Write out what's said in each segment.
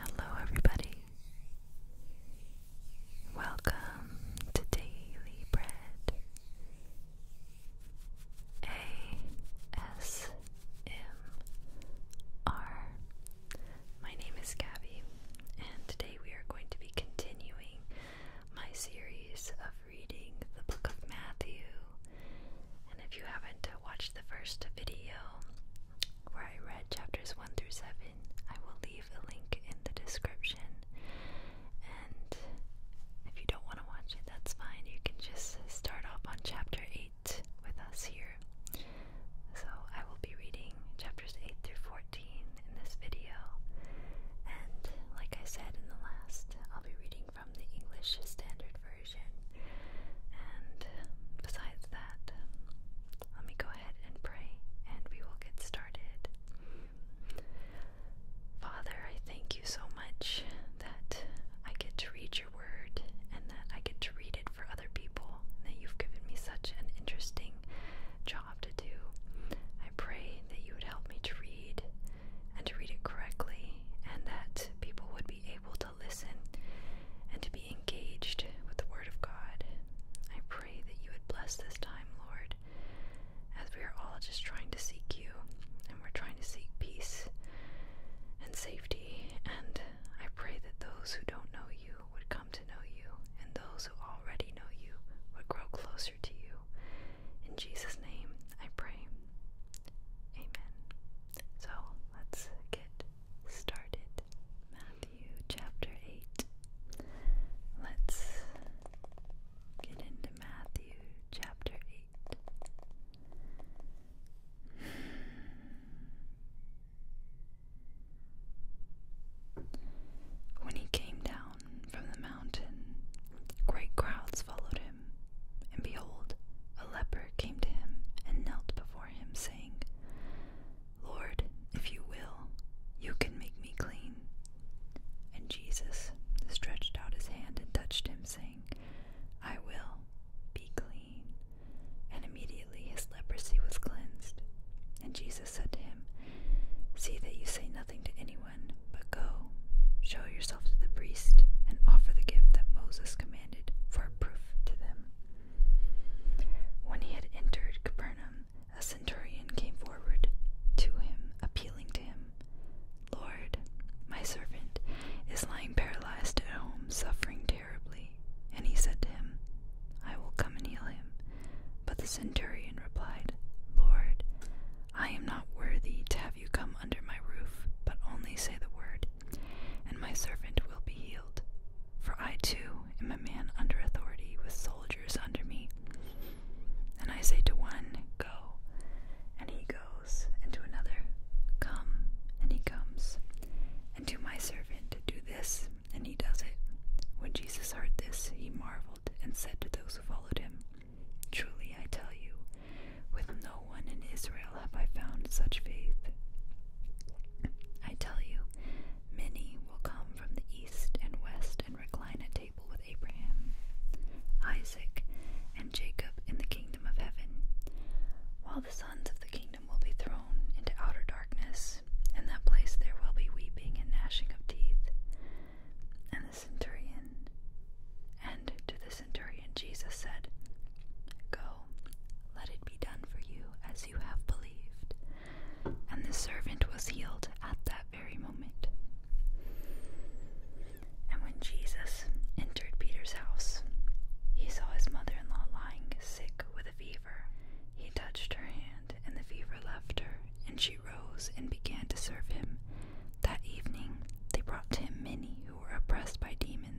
Hello, everybody. Welcome to Daily Bread ASMR. My name is Gabby, and today we are going to be continuing my series of reading the book of Matthew and if you haven't uh, watched the first video where I read chapters 1 through 7, I will leave a link in the description. And if you don't want to watch it, that's fine. You can just start off on chapter 8 with us here. So I will be reading chapters 8 through 14 in this video. And like I said in the last, I'll be reading from the English Standard Version. And besides that, let me go ahead and pray and we will get started. Father, I thank you so much that I get to read your word and that I get to read it for other people, that you've given me such an interesting job to do. I pray that you would help me to read and to read it correctly, and that people would be able to listen and to be engaged with the Word of God. I pray that you would bless this time, Lord, as we are all just trying to seek you and we're trying to seek peace and safety. And I pray that those who don't know you would come to know you, and those who already know you would grow closer to you. In Jesus' name, I pray. Amen. So let's get started. Matthew chapter 8. Let's get into Matthew chapter 8. When he came down from the mountain, great crowds followed him. And behold, a leper came to him and knelt before him, saying, Lord, if you will, you can make me clean. And Jesus stretched out his hand and touched him, saying, I will be clean. And immediately his leprosy was cleansed. And Jesus said to him, See that you say nothing to anyone, but go Show yourself to the priest and offer the gift that Moses commanded for a proof to them. When he had entered Capernaum, a centurion came forward to him, appealing to him, Lord, my servant is lying paralyzed at home, suffering terribly. And he said to him, I will come and heal him. But the centurion replied, Lord, I am not worthy to have you come under my roof, but only say the word, and my servant will be healed. For I too am a man under authority, with soldiers under me. And I say to one, Go, and he goes, and to another, Come, and he comes, and to my servant, Do this, and he does it. When Jesus heard this, he marveled and said to those who followed him, Truly I tell you, with no one in Israel have I found such faith. I tell you, many will come from the east and west and recline at table with Abraham, Isaac, and Jacob in the kingdom of heaven, while the sons of the kingdom will be thrown into outer darkness. In that place there will be weeping and gnashing of teeth. And the centurion, and to the centurion Jesus said, Go, let it be done for you as you have believed. And the servant was healed at that very moment. And when Jesus entered Peter's house, he saw his mother in law lying sick with a fever. He touched her hand, and the fever left her, and she rose and began to serve him. That evening, they brought to him many who were oppressed by demons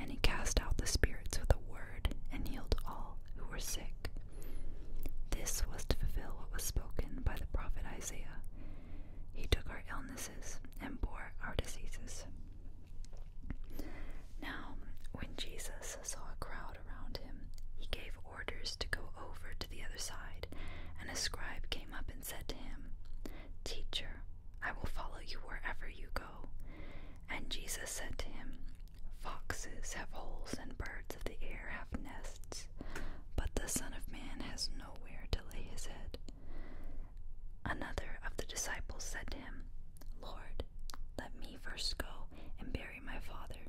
and he cast out the spirits with a word and healed all who were sick. This was to fulfill what was spoken by the prophet Isaiah. He took our illnesses and bore our diseases. Now, when Jesus saw a crowd around him, he gave orders to go over to the other side, and a scribe came up and said to him, Teacher, I will follow you wherever you go. And Jesus said to him, Foxes have holes and birds of the air have nests, but the Son of Man has nowhere to lay his head. Another of the disciples said to him, Lord, let me first go and bury my Father.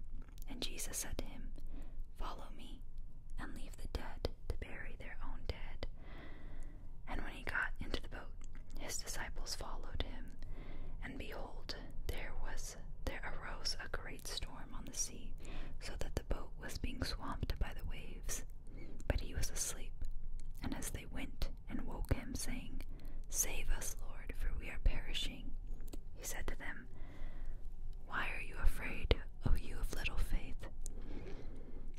And Jesus said to him, Follow me and leave the dead to bury their own dead. And when he got into the boat, his disciples followed him. And behold, there was there arose a great storm on the sea, so that the boat was being swamped by the waves. But he was asleep. And as they went and woke him, saying, Save us, Lord, for we are perishing, he said to them, Why are you afraid, O you of little faith?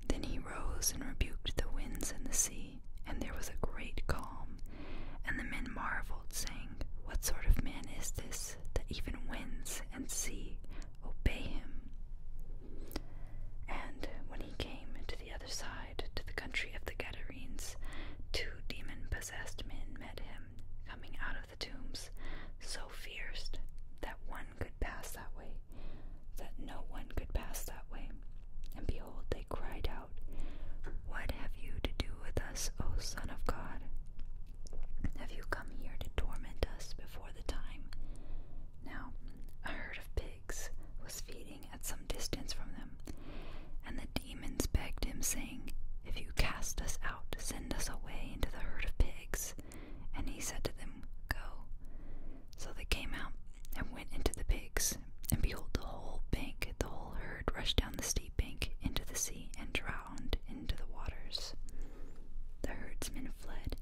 Then he rose and rebuked the winds and the sea, and there was a great calm. And the men marveled, saying, What sort of man is this, that even winds and sea obey him? And when he came to the other side, to the country of the Gadarenes, two demon possessed men met him, coming out of the tombs, so fierce that one could pass that way that no one could pass that way. And behold, they cried out, What have you to do with us, O Son of God? Have you come here to torment us before the time? Now, a herd of pigs was feeding at some distance from them, and the demons begged him, saying, If you cast us out, send us away into the herd of pigs. And he said to them, Go. So they came out and went into the pigs, and behold, the whole bank, the whole herd rushed down the steep bank into the sea and drowned into the waters. The herdsmen fled,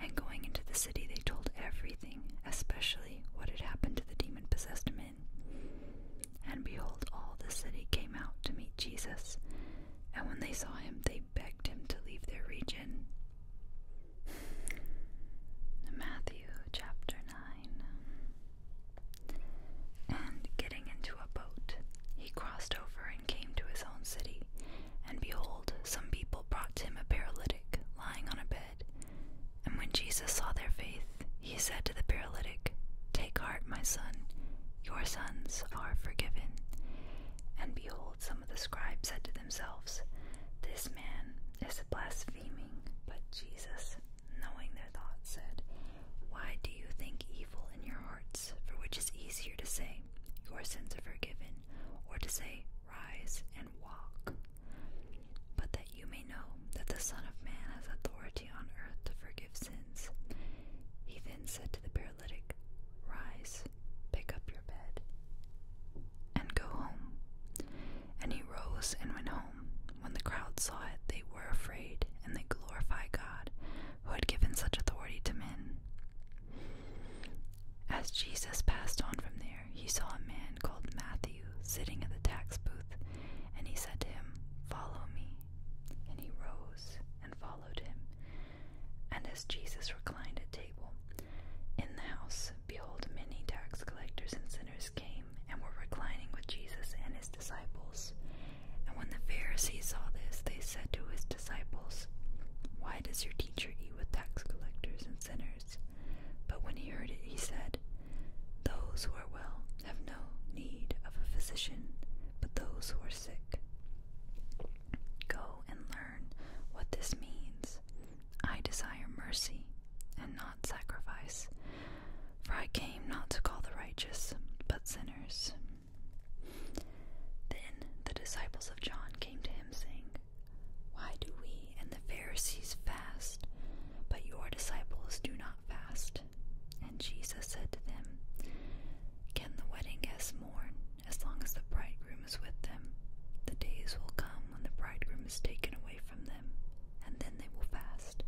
and going into the city, they told everything, especially what had happened to the demon possessed men. And behold, all the city came out to meet Jesus, and when they saw him, they begged him to leave their region. Matthew chapter 9. And getting into a boat, he crossed over and came to his own city. And behold, some people brought to him a paralytic lying on a bed. And when Jesus saw their faith, he said to the paralytic, Take heart, my son, your sins are forgiven. And behold, some of the scribes said to themselves, This man is blaspheming. But Jesus, knowing their thoughts, said, Why do you think evil in your hearts? For which is easier to say, Your sins are forgiven, or to say, Rise and walk. But that you may know that the Son of Man has authority on earth to forgive sins. He then said to the paralytic, Rise, pick up your bed, and go home. And he rose and went home. When the crowd saw it, they were afraid, and they glorified God, who had given such authority to men. As Jesus passed on from there, he saw a man called Matthew sitting at the tax booth, and he said to him, Follow me. And he rose and followed him. And as Jesus reclined at table in the house, behold, many tax collectors and sinners came and were reclining with Jesus and his disciples. And when the Pharisees saw this, they said to his disciples, Why does your teacher eat with tax collectors and sinners? But when he heard it, he said, Those who are well have no need of a physician, but those who are sick. Go and learn what this means. I desire mercy and not sacrifice, for I came not to call the righteous, but sinners. Then the disciples of John came to him, saying, Why do we and the Pharisees fast, but your disciples do not fast? And Jesus said to them, Can the wedding guests mourn as long as the bridegroom is with them. The days will come when the bridegroom is taken away from them, and then they will fast.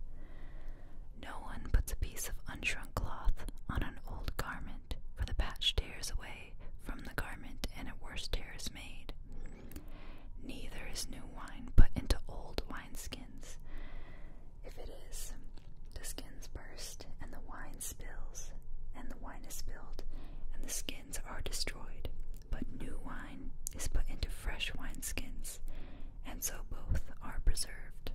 No one puts a piece of unshrunk cloth on an old garment, for the patch tears away from the garment, and a worse tear is made. Neither is new wine put into old wineskins. If it is, the skins burst, and the wine spills, and the wine is spilled, and the skins are destroyed. But new wine is put into fresh wineskins, and so both are preserved.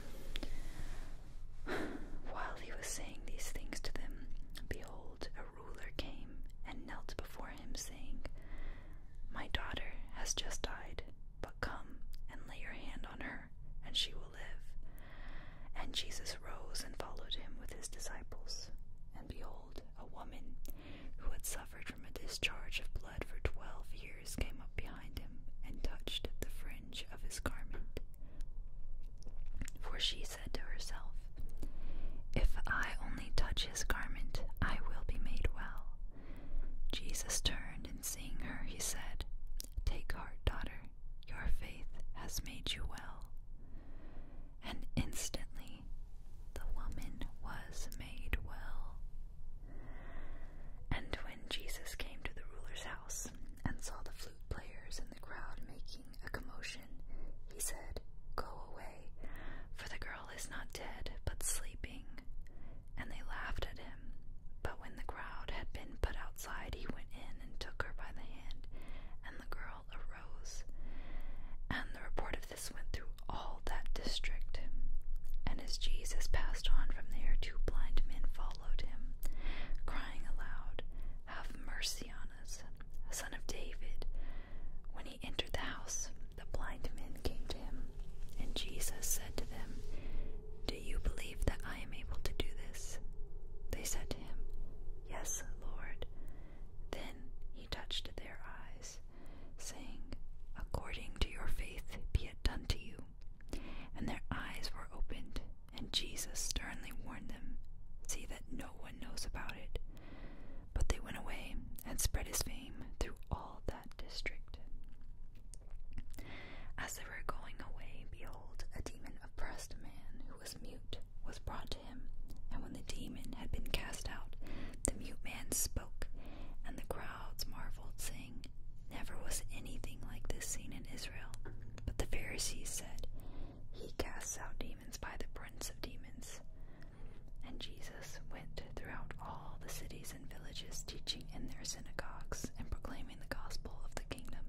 While he was saying these things to them, behold, a ruler came and knelt before him, saying, My daughter has just died, but come and lay your hand on her, and she will live. And Jesus rose and followed him with his disciples. And behold, a woman who had suffered from a discharge of blood for twelve years came up behind him and touched the fringe of his garment. For she said to herself, If I only touch his garment, I will be made well. Jesus turned and seeing her, he said, Take heart, daughter, your faith has made you well. And instantly the woman was made well. And when Jesus came to the ruler's house and saw the flute players and the crowd making a commotion, he said, Go away, for the girl is not dead, but sleeping. And they laughed at him. But when the crowd had been put outside, he went in and took her by the hand, and and the girl arose, and the report of this went through all that district. And as Jesus passed on from there, two blind men followed him, crying aloud, Have mercy on us, son of David. When he entered the house, the blind men came to him, and Jesus said to them, Do you believe that I am able to do this? They said Yes, Lord. Then he touched their eyes, saying, According to your faith be it done to you. And their eyes were opened, and Jesus sternly warned them, See that no one knows about it. But they went away and spread his fame through all that district. As they were going away, behold, a demon oppressed man was mute, was brought to him, and when the demon had been cast out, the mute man spoke, and the crowds marveled, saying, Never was anything like this seen in Israel. But the Pharisees said, He casts out demons by the prince of demons. And Jesus went throughout all the cities and villages, teaching in their synagogues and proclaiming the gospel of the kingdom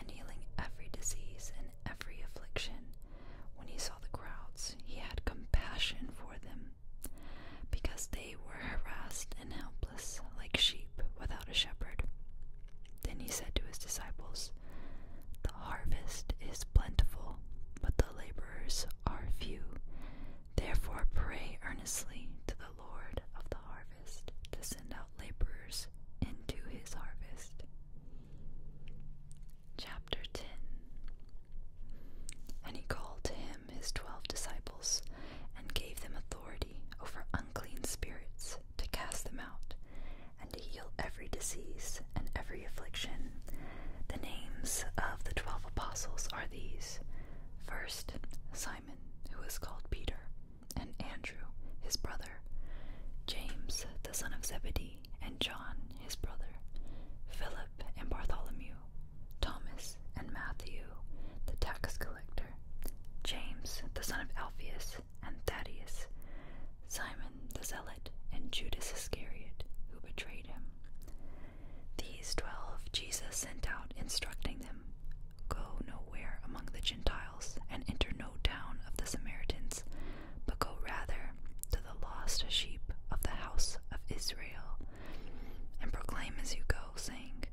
and healing every disease and every affliction. When he saw the crowds, he had compassion for them, because they were harassed and helpless, like sheep without a shepherd. Then he said to his disciples, The harvest is plentiful, but the laborers are few. Therefore, pray earnestly to the Lord of the harvest to send out laborers into his harvest. Chapter 10 And he called to him his twelve disciples, and gave them authority over unclean spirits to cast them out, and to heal every disease and every affliction. The names of the twelve apostles are these First, Simon, who is called Peter and Andrew, his brother, James, the son of Zebedee, and John, his brother, Philip and Bartholomew, Thomas and Matthew, the tax collector, James, the son of Alphaeus, and Thaddeus, Simon the Zealot, and Judas Iscariot, who betrayed him. These twelve Jesus sent out, instructing them Go no where among the Gentiles, and enter no town of the Samaritans, but go rather to the lost sheep of the house of Israel, and proclaim as you go, saying,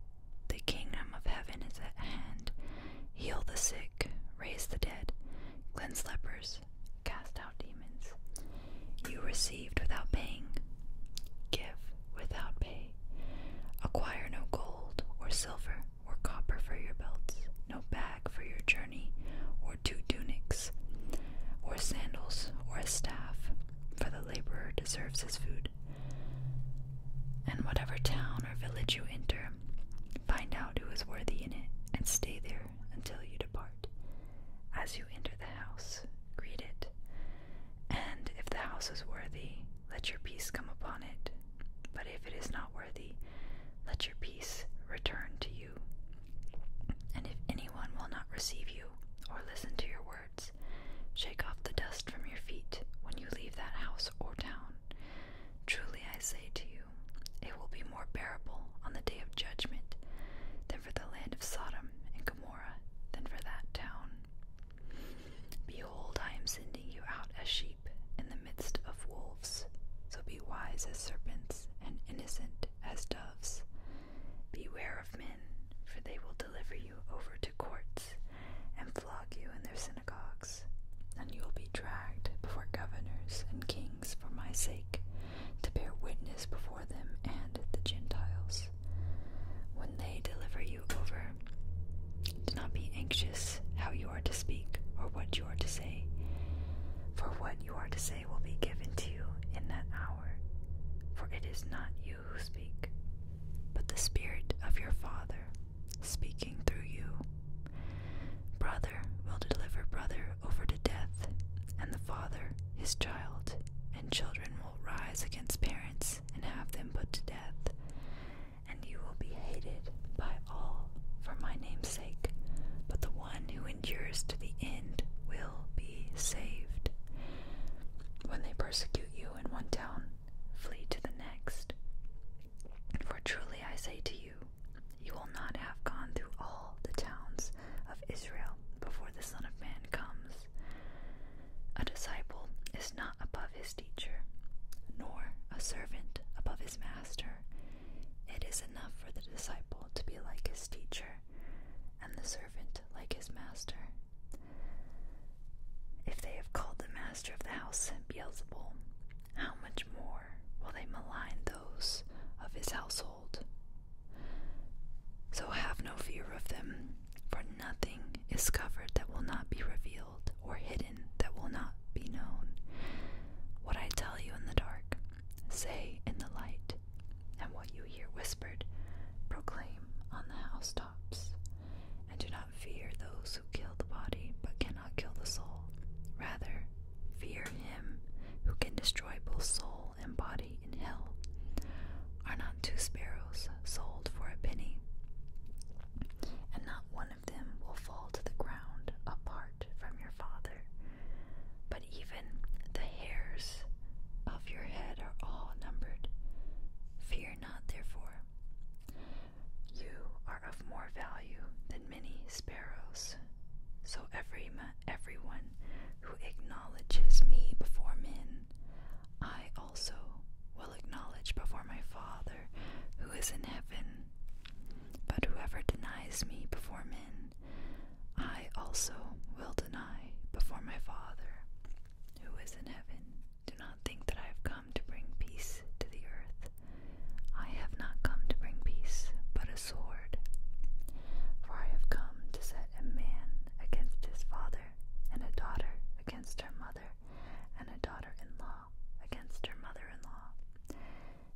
The kingdom of heaven is at hand. Heal the sick, raise the dead, cleanse lepers, cast out demons. You received without paying, give without pay. Acquire no gold or silver or copper for your belts, no bag for your journey, or two tunics, or sandals, or a staff, for the laborer deserves his food. And whatever town or village you enter, find out who is worthy in it, and stay there until you depart. As you enter the house, greet it, and if the house is worthy, let your peace come upon it. But if it is not worthy, let your peace return to you. And if anyone will not receive you or listen to your words, shake off the dust from your feet when you leave that house or town. Truly I say to you, it will be more bearable on the day of judgment than for the land of Sodom and Gomorrah than for that town. Behold, I am sending you out as sheep in the midst of wolves. So be wise as serpents and innocent as doves. Beware of men, for they will deliver you over to courts and flog you in their synagogues, and you will be dragged before governors and kings for my sake, to bear witness before them and the Gentiles. When they deliver you over, do not be anxious how you are to speak or what you are to say, for what you are to say will be given to you in that hour. For it is not you who speak, but the Spirit of your Father speaking through you. Brother will deliver brother over to death, and the father his child, and children will rise against parents and have them put to death and you will be hated by all for my name's sake. But the one who endures to the end will be saved. When they persecute you in one town, flee to the next. For truly I say to you, you will not have gone through all the towns of Israel before the Son of Man comes. A disciple is not above his teacher, nor a servant above his master, it is enough for the disciple to be like his teacher, and the servant like his master. If they have called the master of the house Beelzebul, how much more will they malign those of his household? So have no fear of them, for nothing is covered that will not be revealed or hidden that will not be known. What I tell you in the dark, say in the light, and what you hear whispered, proclaim on the housetops. And do not fear those who kill the body but cannot kill the soul. Rather, fear him who can destroy both soul and body in hell. Are not two sparrows sold for a penny? And not one them will fall to the ground apart from your father. But even the hairs of your head are all numbered. Fear not, therefore. You are of more value than many sparrows. So every everyone who acknowledges me before men, I also will acknowledge before my Father who is in heaven. But whoever denies me before men, I also will deny before my Father who is in heaven. Do not think that I have come to bring peace to the earth. I have not come to bring peace, but a sword. For I have come to set a man against his father, and a daughter against her mother, and a daughter in law against her mother in law,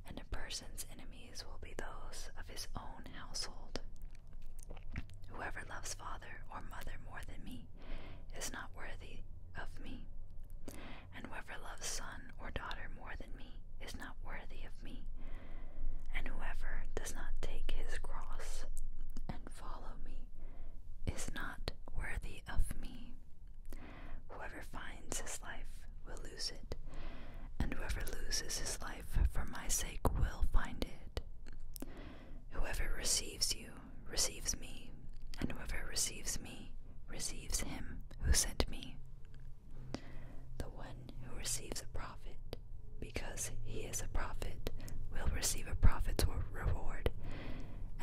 and a person's enemies will be those of his own household. Whoever loves father or mother more than me is not worthy of me, and whoever loves son or daughter more than me is not worthy of me, and whoever does not take his cross and follow me is not worthy of me. Whoever finds his life will lose it, and whoever loses his life for my sake will find it. Whoever receives you receives me, and whoever receives me receives him who sent me. The one who receives a prophet, because he is a prophet, will receive a prophet's reward,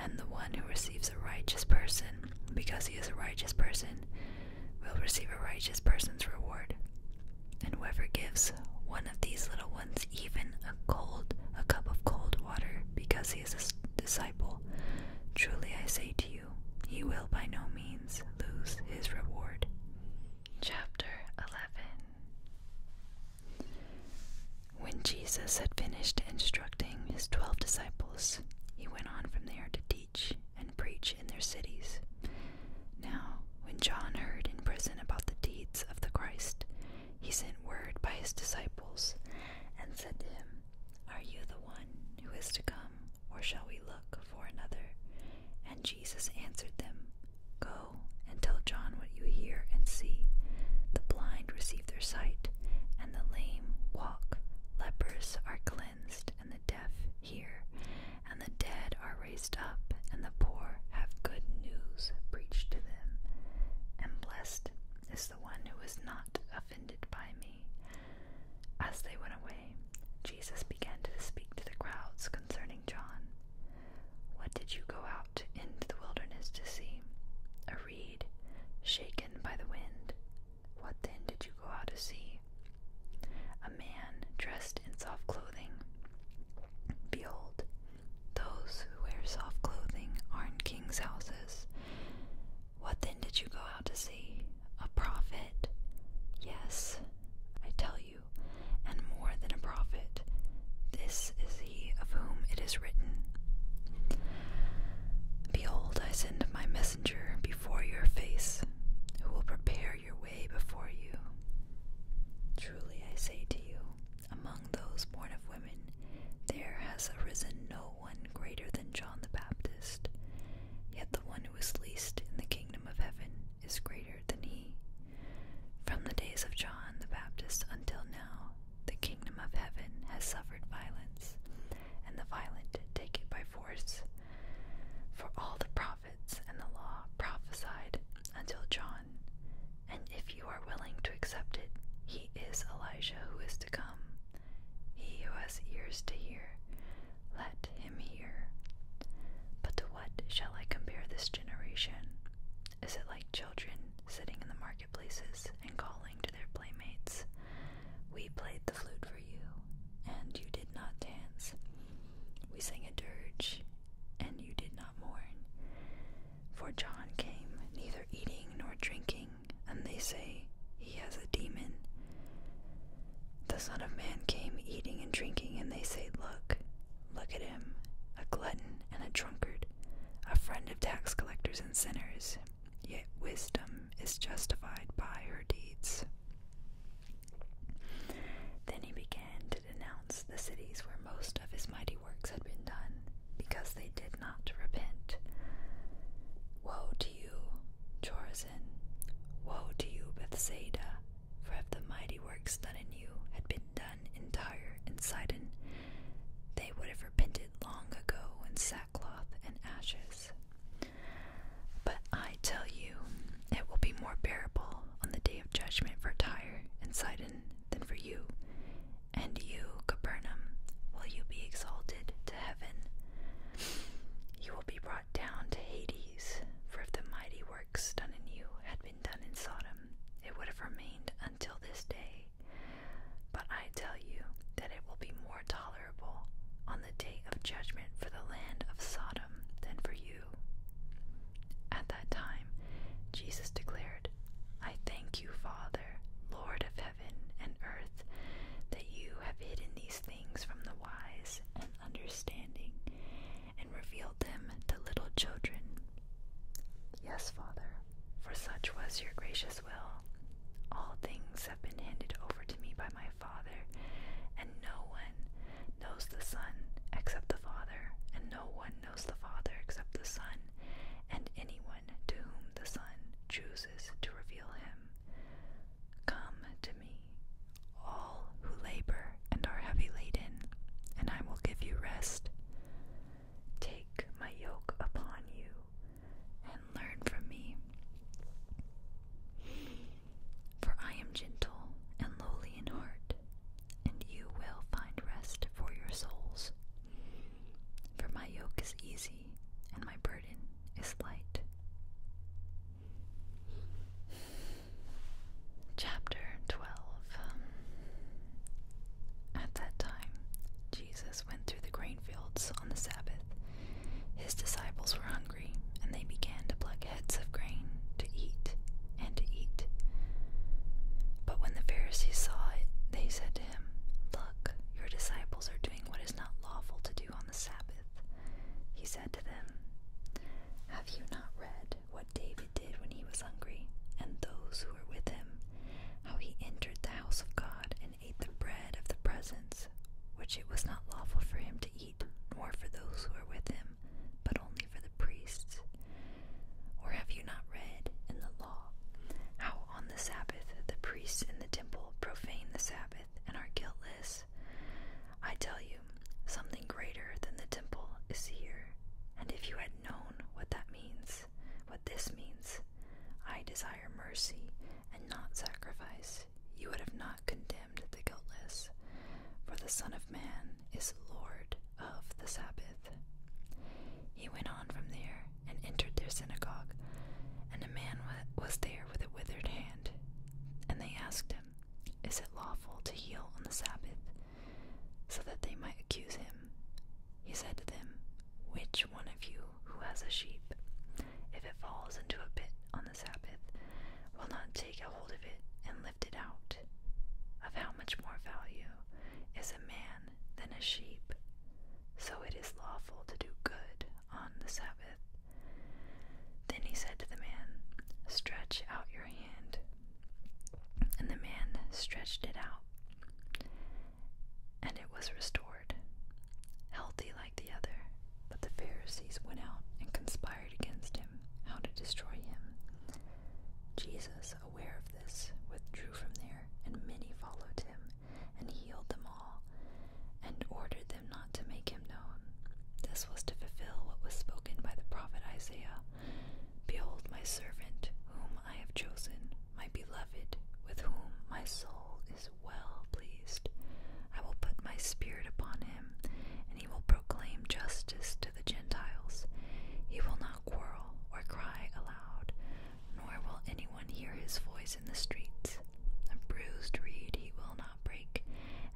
and the one who receives a righteous person because he is a righteous person, will receive a righteous person's reward. And whoever gives one of these little ones even a cold a cup of cold water because he is a disciple, truly I say to you, he will by no means lose his reward. Chapter 11 When Jesus had finished instructing his twelve disciples, he went on from there to teach and preach in their cities. Now, when John heard in prison about the deeds of the Christ, he sent word by his disciples and said to him, Are you the one who is to come, or shall we look for another? And Jesus answered them, Go and tell John what you hear and see. The blind receive their sight, and the lame walk. Lepers are cleansed, and the deaf hear, and the dead are raised up, and the poor have good news preached to them. And blessed is the one who is not offended by me. As they went away, Jesus began to speak to the crowds concerning John. What did you go out into the wilderness to see? A reed shaken by the wind. What then did you go out to see? A man dressed in soft clothing. Behold, those who wear soft clothing are in kings' houses. What then did you go out to see? A prophet? Yes, I tell you, and more than a prophet. This is he of whom it is written Behold, I send my messenger before your face, who will prepare your way before you. Truly I say to you, among those born of women, there has arisen no one greater than John the Baptist, yet the one who is least in the kingdom of heaven is greater than he. From the days of John the Baptist until now, the kingdom of heaven has suffered violence, and the violent take it by force. For all the prophets and the law prophesied until John, and if you are willing to accept it, he is Elijah who is to come. He who has ears to hear, let him hear. But to what shall I compare this generation? Is it like children sitting in the marketplaces and calling? to their playmates. We played the flute for you, and you did not dance. We sang a dirge, and you did not mourn. For John came, neither eating nor drinking, and they say, He has a demon. The Son of Man came eating and drinking, and they say, Look, look at him, a glutton and a drunkard, a friend of tax collectors and sinners yet wisdom is justified by her deeds. Then he began to denounce the cities where most of his mighty works had been done, because they did not repent. Woe to you, Chorazin! Woe to you, Bethsaida! For if the mighty works done in you had been done in Tyre and Sidon, they would have repented long ago and sat sackcloth and ashes. But I tell you, it will be more bearable on the day of judgment for Tyre and Sidon than for you. And you, Capernaum, will you be exalted to heaven? You will be brought down to Hades, for if the mighty works done in you had been done in Sodom, it would have remained until this day. But I tell you that it will be more tolerable on the day of judgment for the land of Sodom than for you. At that time, Jesus declared, I thank you, Father, Lord of heaven and earth, that you have hidden these things from the wise and understanding and revealed them to little children. Yes, Father, for such was your gracious all things have been handed over to me by my Father, and no one knows the Son except the Father, and no one knows the Father except the Son, and anyone to whom the Son chooses to reveal him. Come to me, all who labor and are heavy laden, and I will give you rest. Take my yoke upon you and learn from me. For I am gentle and lowly in heart, and you will find rest for your souls. For my yoke is easy, and my burden is light. Chapter 12 At that time, Jesus went through the grain fields on the Sabbath his disciples were hungry, and they began to pluck heads of grain to eat and to eat. But when the Pharisees saw it, they said to him, Look, your disciples are doing what is not lawful to do on the Sabbath. He said to them, Have you not read what David did when he was hungry, and those who were with him, how he entered the house of God and man ate the bread of the presence, which it was not lawful for him to eat, nor for those who were with him, but only for the priests. Or have you not read in the law how on the Sabbath the priests in the temple profane the Sabbath and are guiltless? I tell you, something greater than the temple is here, and if you had known what that means, what this means. I desire mercy and not sacrifice. You would have not condemned the guiltless, for the Son of Man is Lord of the Sabbath. He went on from there and entered their synagogue, and a man was there with a withered hand. And they asked him, Is it lawful to heal on the Sabbath? So that they might accuse him. He said to them, Which one of you who has a sheep, if it falls into a pit on the Sabbath, will not take hold of it and lift it out? Of how much more value is a man than a sheep? So it is lawful to do good on the Sabbath. Then he said to the man, Stretch out your hand. And the man stretched it out and it was restored, healthy like the other. But the Pharisees went out and conspired against him how to destroy him. Jesus, aware of this, withdrew from there, and many followed him, and healed them all, and ordered them not to make him known. This was to fulfill what was spoken by the prophet Isaiah Behold, my servant, whom I have chosen, my beloved, with whom my soul is well pleased. I will put my spirit upon him, and he will proclaim justice to the Gentiles. He will not quarrel or cry aloud, nor will anyone hear his voice in the streets. A bruised reed he will not break,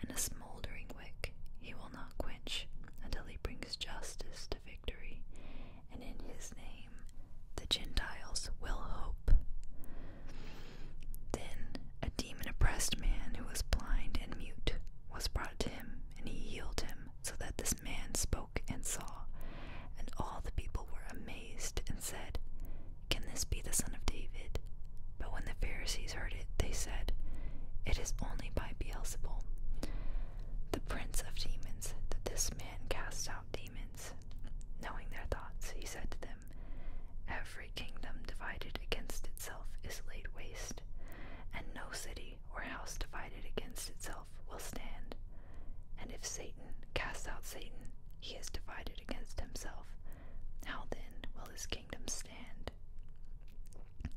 and a smoldering wick he will not quench, until he brings justice to victory, and in his the Gentiles will hope. Then a demon oppressed man who was blind and mute was brought to him, and he healed him, so that this man spoke and saw. And all the people were amazed and said, Can this be the son of David? But when the Pharisees heard it, they said, It is only by Beelzebul, the prince of demons, that this man casts out demons. Knowing their thoughts, he said to them, Every kingdom divided against itself is laid waste, and no city or house divided against itself will stand. And if Satan casts out Satan, he is divided against himself. How then will his kingdom stand?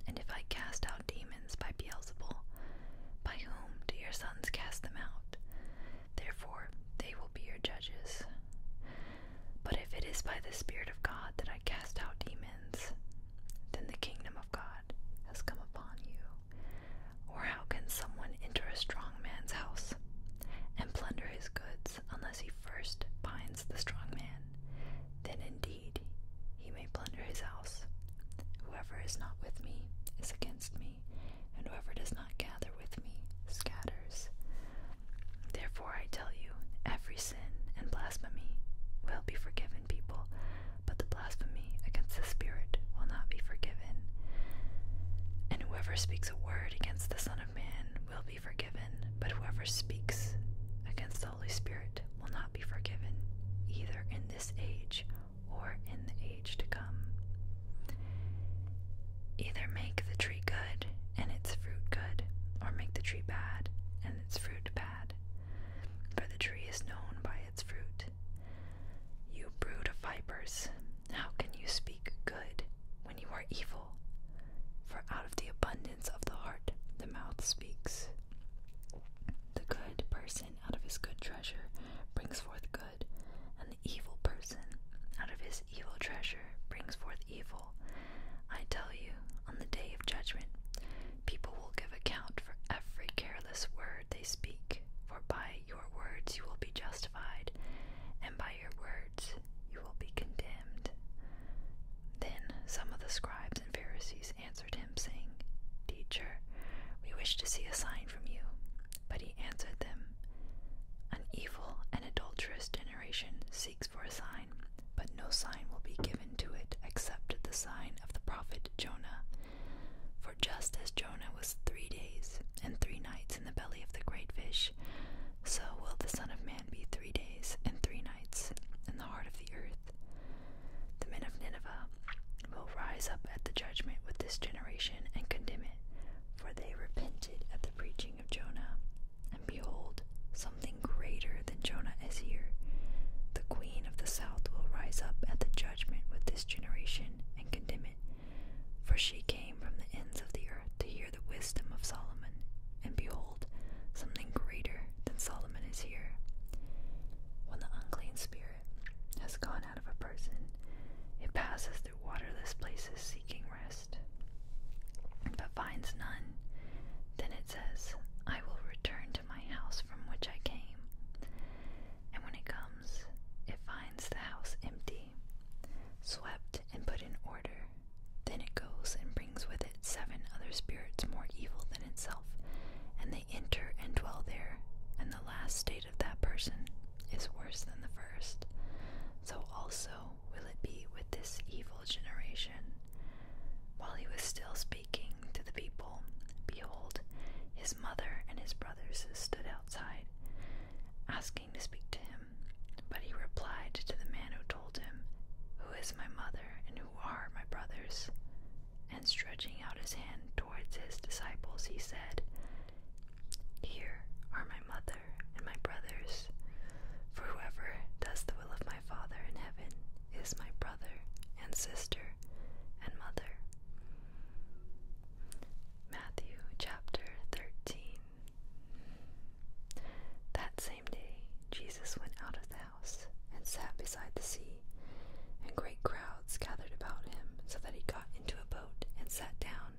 And if I cast out demons by Beelzebul, by whom do your sons cast them out? Therefore, they will be your judges. But if it is by the Spirit of God that I cast out demons, then the kingdom of God has come upon you. Or how can someone enter a strong man's house and plunder his goods unless he first binds the strong man? Then indeed he may plunder his house. Whoever is not with me is against me, and whoever does not gather with me scatters. Therefore, I tell you, every sin and blasphemy will be forgiven people, but the blasphemy against the Spirit will not be forgiven. And whoever speaks a word against the Son of Man will be forgiven, but whoever speaks against the Holy Spirit will not be forgiven, either in this age or in the age to come. Either make the tree good and its fruit good, or make the tree bad and its fruit bad. For the tree is known by its fruit. You brood of vipers, how can you speak good when you are evil? For out of the abundance of the heart the mouth speaks. The good person out of his good treasure brings forth good good. And the evil person, out of his evil treasure, brings forth evil. I tell you, on the day of judgment, people will give account for every careless word they speak. For by your words you will be justified, and by your words you will be condemned. Then some of the scribes and Pharisees answered him, saying, Teacher, we wish to see a sign from you. But he answered them An evil and adulterous generation seeks for a sign, but no sign will be given to it except the sign of the prophet Jonah. For just as Jonah was three days and three nights in the belly of the great fish, so will the Son of Man be three days and three nights in the heart of the earth. The men of Nineveh will rise up at the judgment with this generation and condemn it, for they repented at the preaching of Jonah, and behold, something greater than Jonah is here. The queen of the south will rise up at the judgment with this generation and condemn it. For she came from the ends of the earth to hear the wisdom of Solomon, and behold, something greater than Solomon is here. When the unclean spirit has gone out of a person, it passes through through waterless places seeking rest, but finds none. Then it says, I will return to my house from which I came. And when it comes, it finds the house empty, swept and put in order. Then it goes and brings with it seven other spirits more evil than itself, and they enter and dwell there, and the last state of that person is worse than the first, so also will it be with this evil generation. While he was still speaking to the people, behold, his mother and his brothers stood outside, asking to speak to him. But he replied to the man who told him, Who is my mother and who are my brothers? And stretching out his hand towards his disciples, he said, here are my mother and my brothers. For whoever does the will of my Father in heaven is my brother and sister and mother. Matthew chapter 13. That same day, Jesus went out of the house and sat beside the sea, and great crowds gathered about him, so that he got into a boat and sat down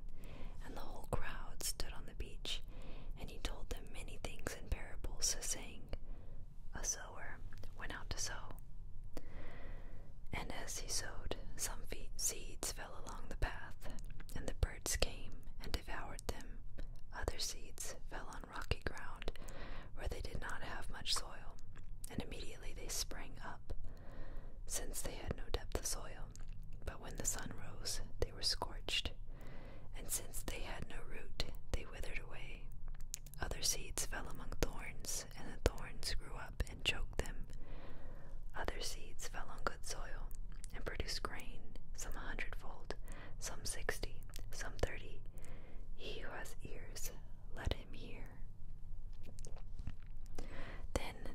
and the whole crowd stood on the beach, and he told them many things in parables, saying, A sower went out to sow. And as he sowed, some seeds fell along the path, and the birds came and devoured them. Other seeds fell on rocky ground, where they did not have much soil, and immediately they sprang up since they had no depth of soil. But when the sun rose, they were scorched, and since they had no root, they withered away. Other seeds fell among thorns, and the thorns grew up and choked them. Other seeds fell on good soil, and produced grain, some a hundredfold, some sixty, some thirty. He who has ears, let him hear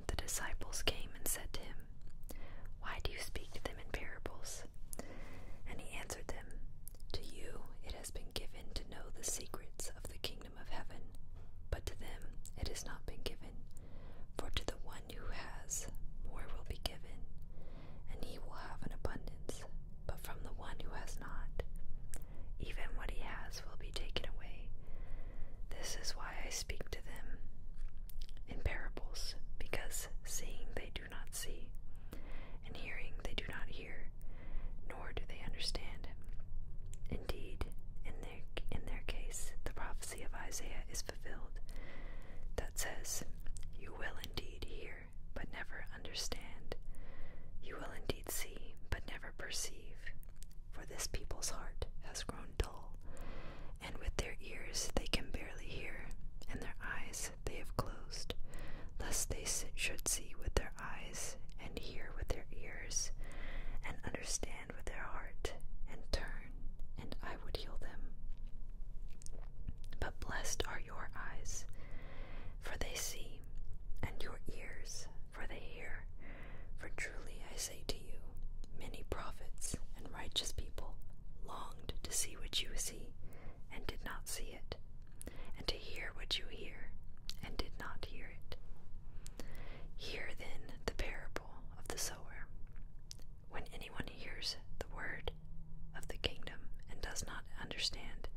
the disciples came and said to him, Why do you speak to them in parables? And he answered them, To you it has been given to know the secrets of the kingdom of heaven, but to them it has not been given. For to the one who has, more will be given, and he will have an abundance. But from the one who has not, even what he has will be taken away. This is why I speak to them in parables, because seeing they do not see, and hearing they do not hear, nor do they understand. Indeed, in their, in their case, the prophecy of Isaiah is fulfilled that says, You will indeed hear, but never understand. You will indeed see, but never perceive for this people's heart has grown dull, and with their ears they can barely hear, and their eyes they have closed, lest they should see with their eyes, and hear with their ears, and understand with their heart, and turn, and I would heal them. But blessed are your eyes, for they see, and your ears, for they hear. For truly I say to you, many prophets and righteous people longed to see what you see, and did not see it, and to hear what you hear, and did not hear it. Hear then the parable of the sower. When anyone hears the word of the kingdom and does not understand,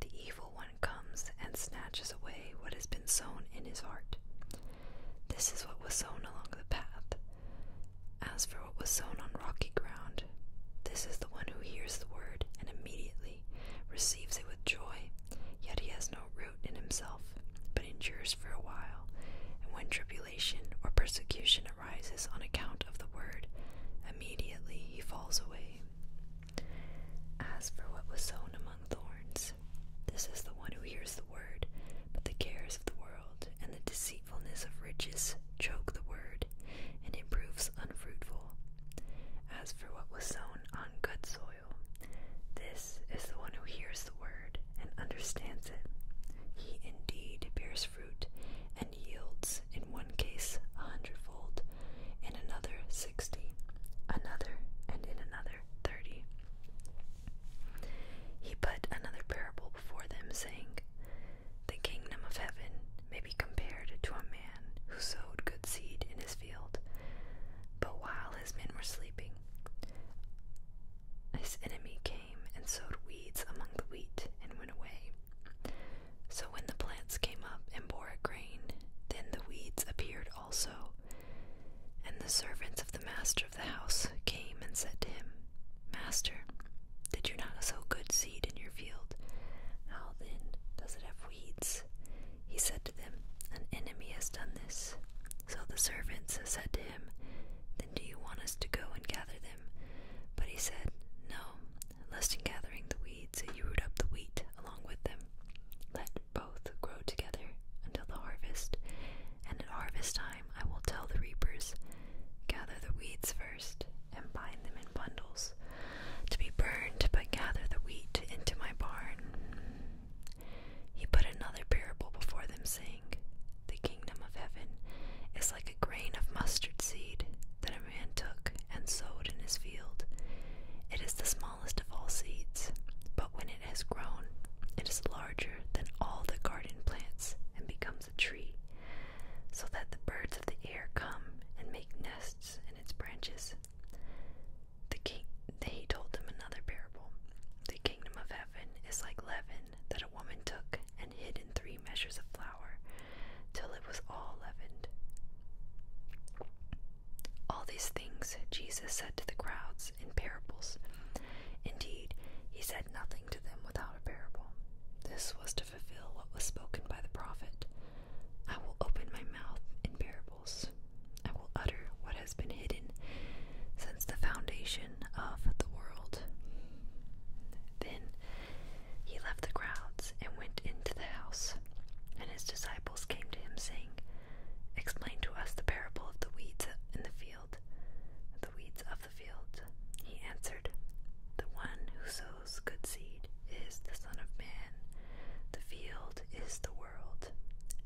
the evil one comes and snatches away what has been been sown in his heart. This is what was sown along the path. As for what was sown on rocky ground, this is the one who hears the word and immediately receives it with joy, yet he has no root in himself, but endures for a while. And when tribulation or persecution arises on account of the word, immediately he falls away. As for what was sown among thorns, this is the one who hears the word, but the cares of the world and the deceitfulness of riches choke the word, and it proves unfruitful. As for what was sown on good soil, this is the one who hears the word and understands it. He indeed bears fruit and yields, in one case a hundredfold, in another sixty, another, and in another 30. He put another parable before them, saying, The kingdom of heaven may be compared to a man who sowed good seed in his field. But while his men were sleeping, his enemy came and sowed weeds among the wheat and went away. So when the plants came up and bore grain, then the weeds appeared also. And the servants of the master of the house came and said to him, Master, did you not sow good seed in your field? How then does it have weeds? He said to them, An enemy has done this. So the servants said to him, Then do you want us to go and gather them? But he said, No, lest in gathering the weeds you root up the wheat along with them. Let both grow together until the harvest, and at harvest time I will tell the reapers, Gather the weeds first, and bind them in bundles, to be burned, but gather the wheat into my barn. He put another parable before them, saying, The kingdom of heaven is like a grain of mustard seed that a man took and sowed in his field. It is the smallest of all seeds, but when it has grown, it is larger than all the garden plants and becomes a tree, so that the birds of the air come and make nests in its branches. The king, he told them another parable. The kingdom of heaven is like leaven that a woman took and hid in three measures of flour till it was all leavened. All these things Jesus said to the crowds in parables. Indeed, he said nothing to them without a parable. This was to fulfill what was spoken by the prophet I will open my mouth in parables, I will utter what has been hidden since the foundation of the world. Then he left the crowds and went into the house, and his disciples came to him, saying, Explain to us the parable of the weeds in the field, the weeds of the field. He answered, The one who sows good seed is the Son of Man, the field is the world,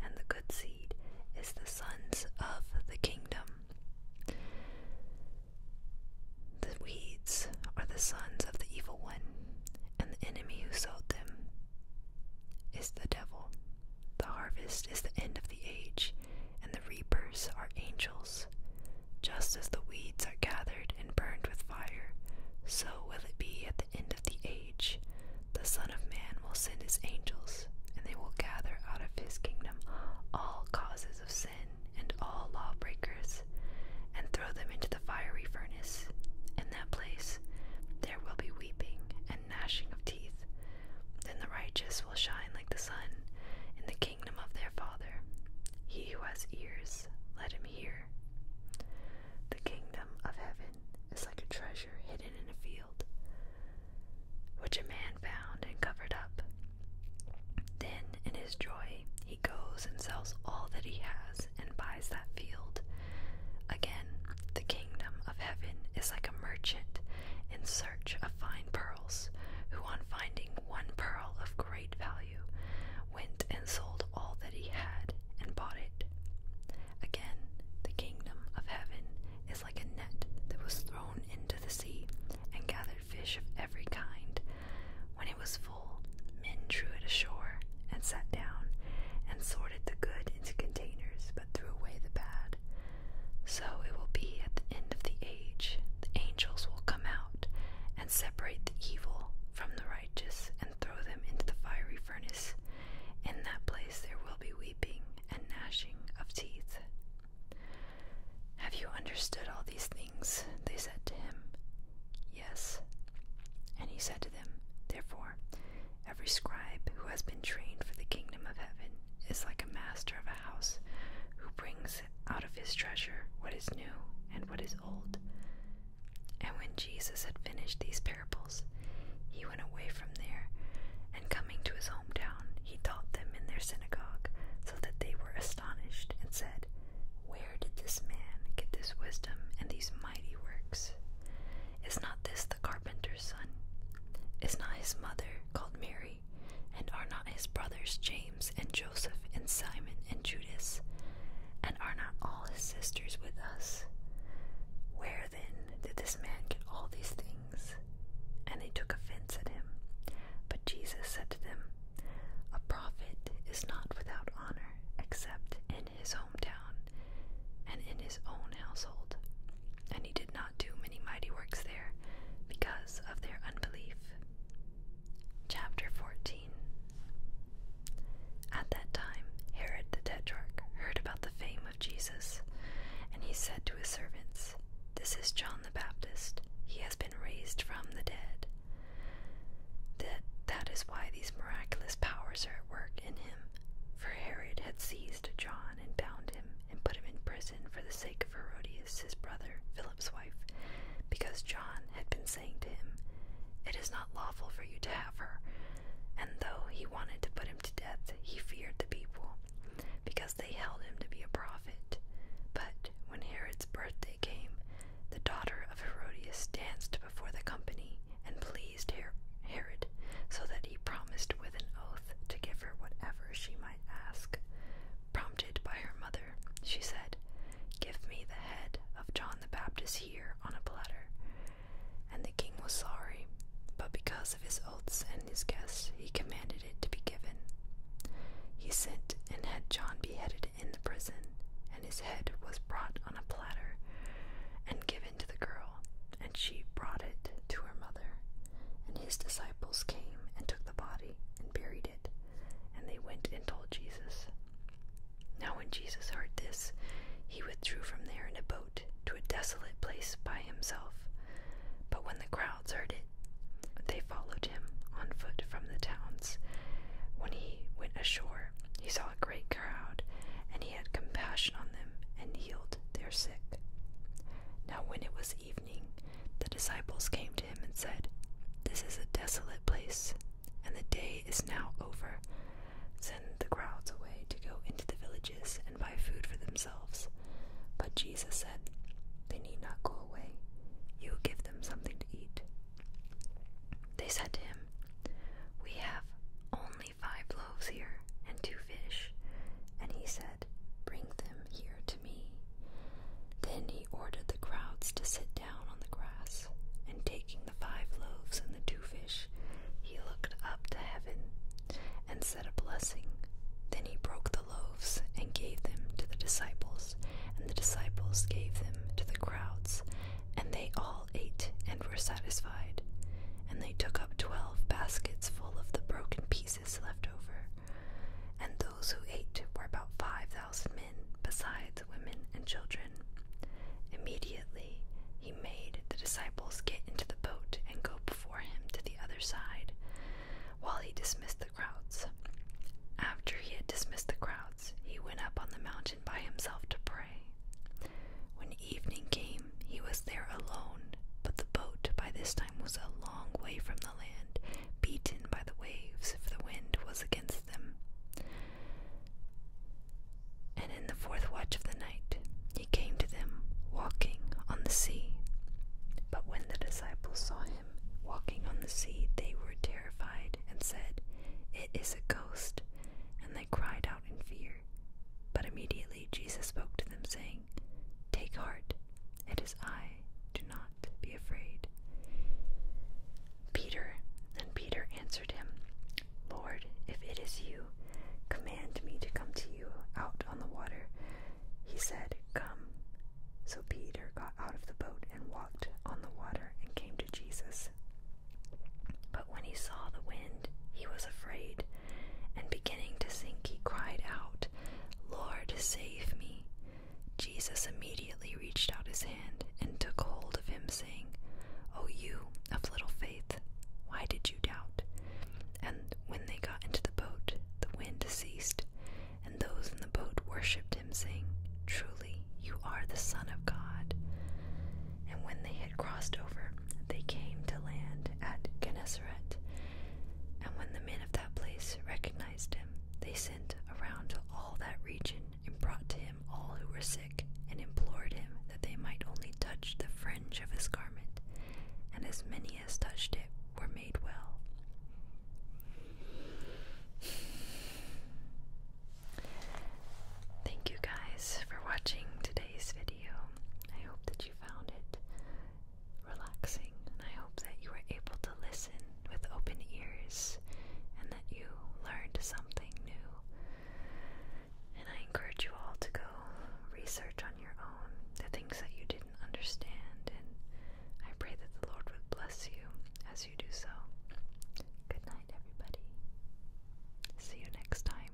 and the good seed is the sons of the kingdom. The weeds are the sons of the evil one, and the enemy who sowed them is the devil. The harvest is the end of the age, and the reapers are angels. Just as the weeds are gathered and burned with fire, so will it be at the end of the age. The Son of Man will send his angels, and they will gather out of his kingdom all causes of sin and all lawbreakers, and throw them into the fiery furnace. In that place there will be weeping and and of teeth. Then the righteous will shine like the sun in the kingdom of their Father. He who has ears, let him hear. The kingdom of heaven is like a treasure hidden in a field, which a man found and covered up. Then, in his joy, he goes and sells all that he has and buys that field. Again, the kingdom of heaven is like a merchant in search of fine pearls, who, on finding one pearl of great value, went and sold all that he had and bought it. Again, the kingdom of heaven is like a net that was thrown into the sea and gathered fish of every kind. When it was full, men drew it ashore and sat down and sorted the good into containers, but threw away the bad. So it will be at the end of the age, the angels will come out and separate the evil from the righteous and throw them into the fiery furnace. In that place there will be weeping and gnashing of teeth. Have you understood all these things? They said to him. Yes. And he said to them, Therefore, Every scribe who has been trained for the kingdom of heaven is like a master of a house who brings out of his treasure what is new and what is old. And when Jesus had finished these parables, he went away from there, and coming to his hometown, he taught them in their synagogue, so that they were astonished and said, Where did this man get this wisdom and these mighty works? Is not this the carpenter's son? Is not his mother called Mary? And are not his brothers James and Joseph and Simon and Judas? And are not all his sisters with us? Where then did this man get all these things? And they took offense at him. But Jesus said to them, A prophet is not without honor except in his hometown and in his own household. And he did not do many mighty works there because of their unbelief. Chapter 14 At that time, Herod the Tetrarch heard about the fame of Jesus, and he said to his servants, This is John the Baptist. He has been raised from the dead. That, that is why these miraculous powers are at work in him. For Herod had seized to John and bound him and put him in prison for the sake of Herodias, his brother, Philip's wife, because John had been saying to him, It is not lawful for you to have her. And though he wanted to put him to death, he feared the people, because they held him to be a prophet. But when Herod's birthday came, the daughter of Herodias danced before the company, and pleased Herod, so that he promised with an oath to give her whatever she might ask. Prompted by her mother, she said, Give me the head of John the Baptist here on a platter. And the king was sorry, but because of his oaths and his guests, he commanded it to be given. He sent and had John beheaded in the prison, and his head was brought on a platter and given to the girl, and she brought it to her mother. And his disciples came and took the body and buried it, and they went and told Jesus. Now, when Jesus heard this, he withdrew from there in a boat to a desolate place by himself. But when the crowds heard it, they followed him on foot from the towns. When he went ashore, he saw a great crowd, and he he had compassion on them and healed their sick. Now, when it was evening, the disciples came to him and said, This is a desolate place, and the day is now over. Send the crowds away to go into the villages and buy food for themselves. But Jesus said, They need not go away. You give them something to eat. They said to him, We have only five loaves here and two fish. And he said, Bring them here to me. Then he ordered the crowds to sit down on the grass, and taking the five loaves and the two fish, he looked up to heaven and said a blessing. Then he broke the loaves and gave them to the disciples, and the disciples gave them to the crowds, and they all ate and were satisfied, and they took up twelve baskets full of the broken pieces left over. And those who ate were about five thousand men, besides women and children. Immediately he made the disciples get into the boat and go before him to the other side, while he dismissed the crowds. After he had dismissed the crowds, he went up on the mountain by himself to pray. When evening came, he was there alone, but the boat by this time was a long way from the land, beaten by the waves if the wind was against them. And in the fourth watch of the night he came to them walking on the sea. But when the disciples saw him walking on the sea, they were terrified and said, It is a ghost, and they cried out in fear. But immediately Jesus spoke to them, saying, Take heart, it is I, do not be afraid. Peter, and Peter answered him, Lord, if it is you, command me to come to you out on the water. He said, Come. So Peter got out of the boat and walked on the water and came to Jesus. But when he saw the wind, he was afraid, and beginning to sink, he cried out, Lord, save me. Jesus immediately reached out his hand and took hold of him, saying, O you of little faith, why did you doubt? And when they got into the boat, the wind ceased, and those in the boat worshipped him, saying, Truly, you are the Son of God. And when they had crossed over, they came to land at Gennesaret. And when the men of that place recognized him, they sent around to all that region and brought to him all who were sick, and implored him that they might only touch the fringe of his garment, and as many as touched it were made well. Thank you guys for watching today's video. I hope that you found it relaxing, and I hope that you were able to listen with open ears and that you learned something new. And I encourage you all to go research on your own the things that you didn't understand, and I pray that the Lord would bless you as you do so. Good night, everybody. See you next time.